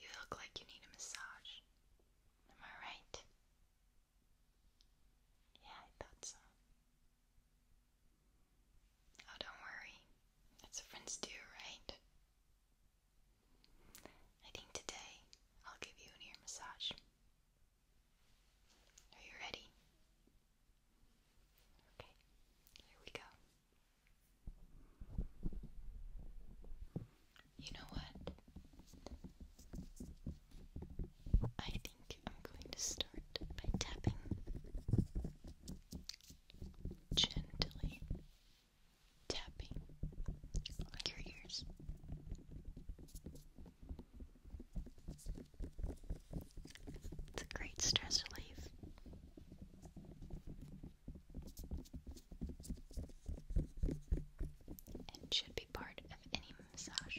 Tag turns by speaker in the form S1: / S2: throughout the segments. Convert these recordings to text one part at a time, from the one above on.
S1: You look like you need a massage. Am I right? Yeah, I thought so. Oh, don't worry. That's what friends do, right? I think today I'll give you an ear
S2: massage. Are you ready? Okay, here we go. You know what? I think I'm
S1: going to start tapping gently tapping on your ears. It's a great stress relief. And should be part of any massage.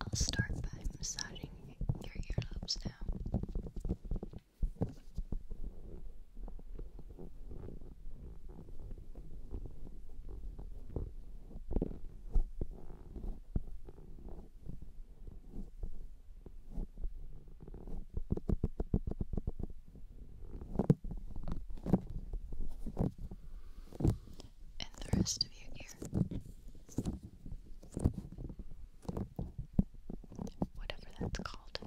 S2: I'll start by massaging your earlobes now and the rest of you here, Whatever that's called.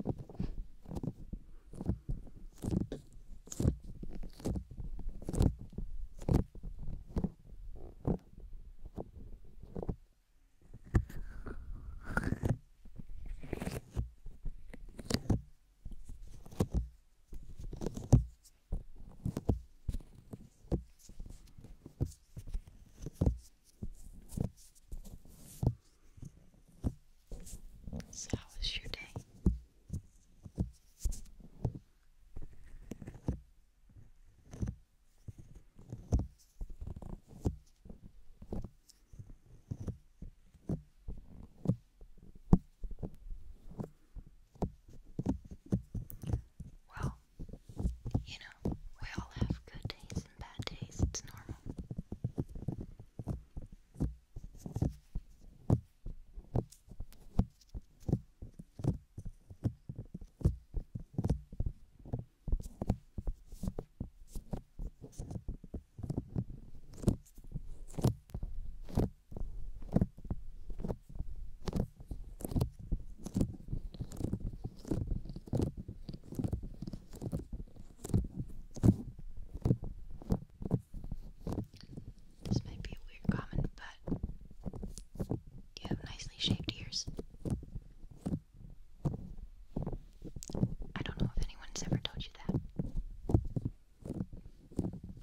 S2: So, how was your day? Well, you know, we all have good days and bad days, it's normal. This might be a weird comment, but you have nicely shaped ears. I don't know if anyone's ever told you that,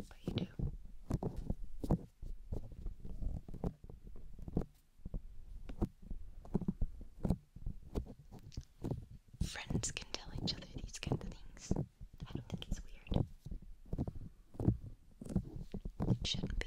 S2: but you do. Friends can tell each other these kind of things. I don't think it's weird. It shouldn't be.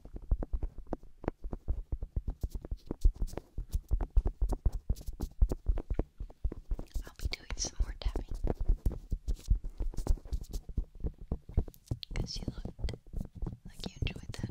S2: I'll be doing some more tapping because you looked like you enjoyed that.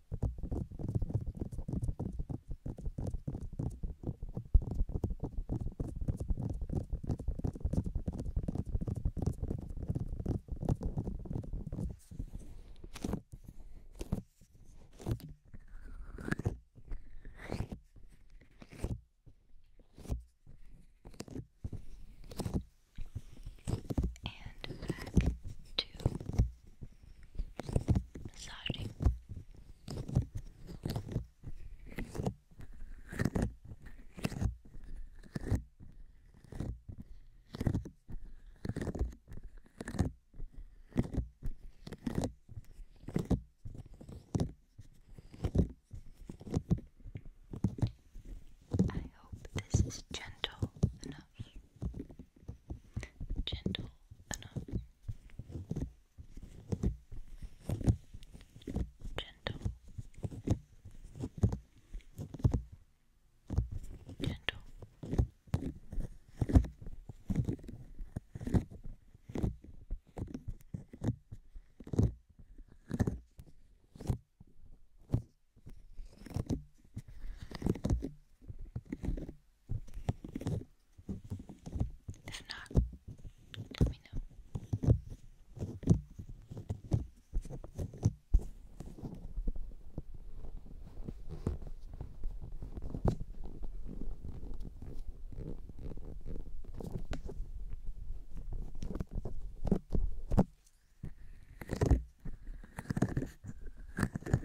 S2: And back to I hope this is gentle enough gentle enough, gentle. Gentle, they're not. Let me know.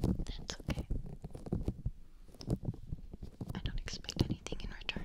S2: That's okay. I don't expect anything in return.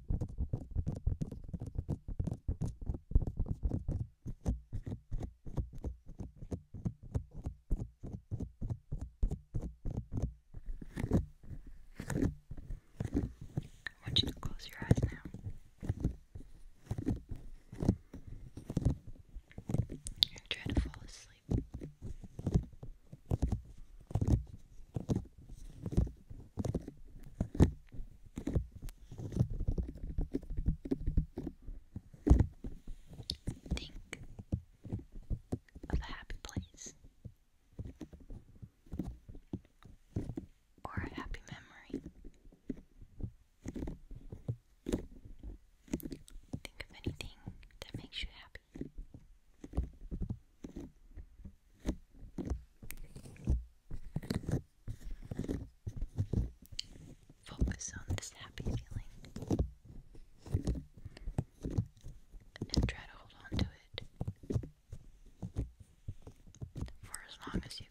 S2: I want you to close your eyes now. You're trying to fall asleep. Think of a happy place or a happy memory. Think of anything that makes you happy. Focus on this happy feeling and try to hold on to it for as long as you can.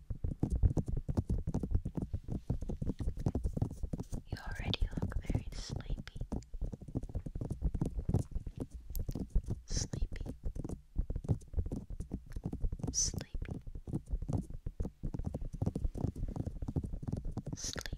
S1: You already look very sleepy.
S2: Sleepy. Sleepy. Sleepy. Sleep.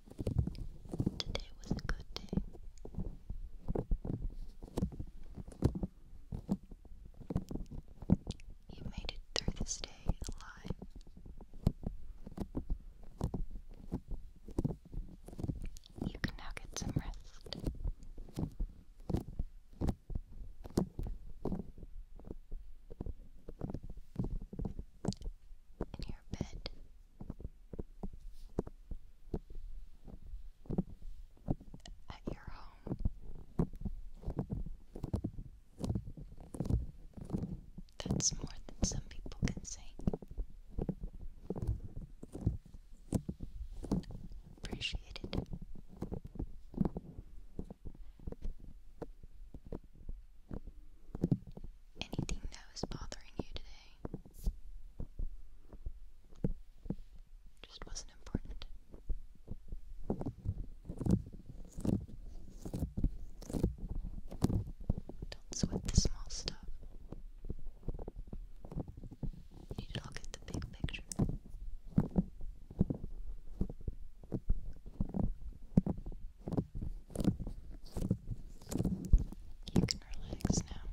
S2: Today was a good day. You made it through this day alive. You can now get some rest. In your bed, at your home. That's more than some people can say. Appreciate Anything that was bothering you today just wasn't important. Don't sweat the small stuff. You need to look at the big picture. You can relax now.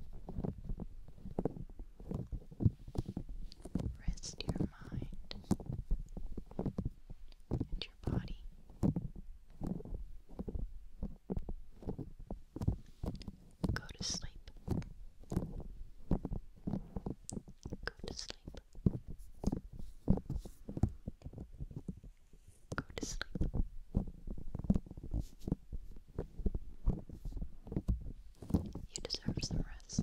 S2: Rest your mind and your body. Go to sleep. Go to sleep. Go to sleep. You deserve some rest.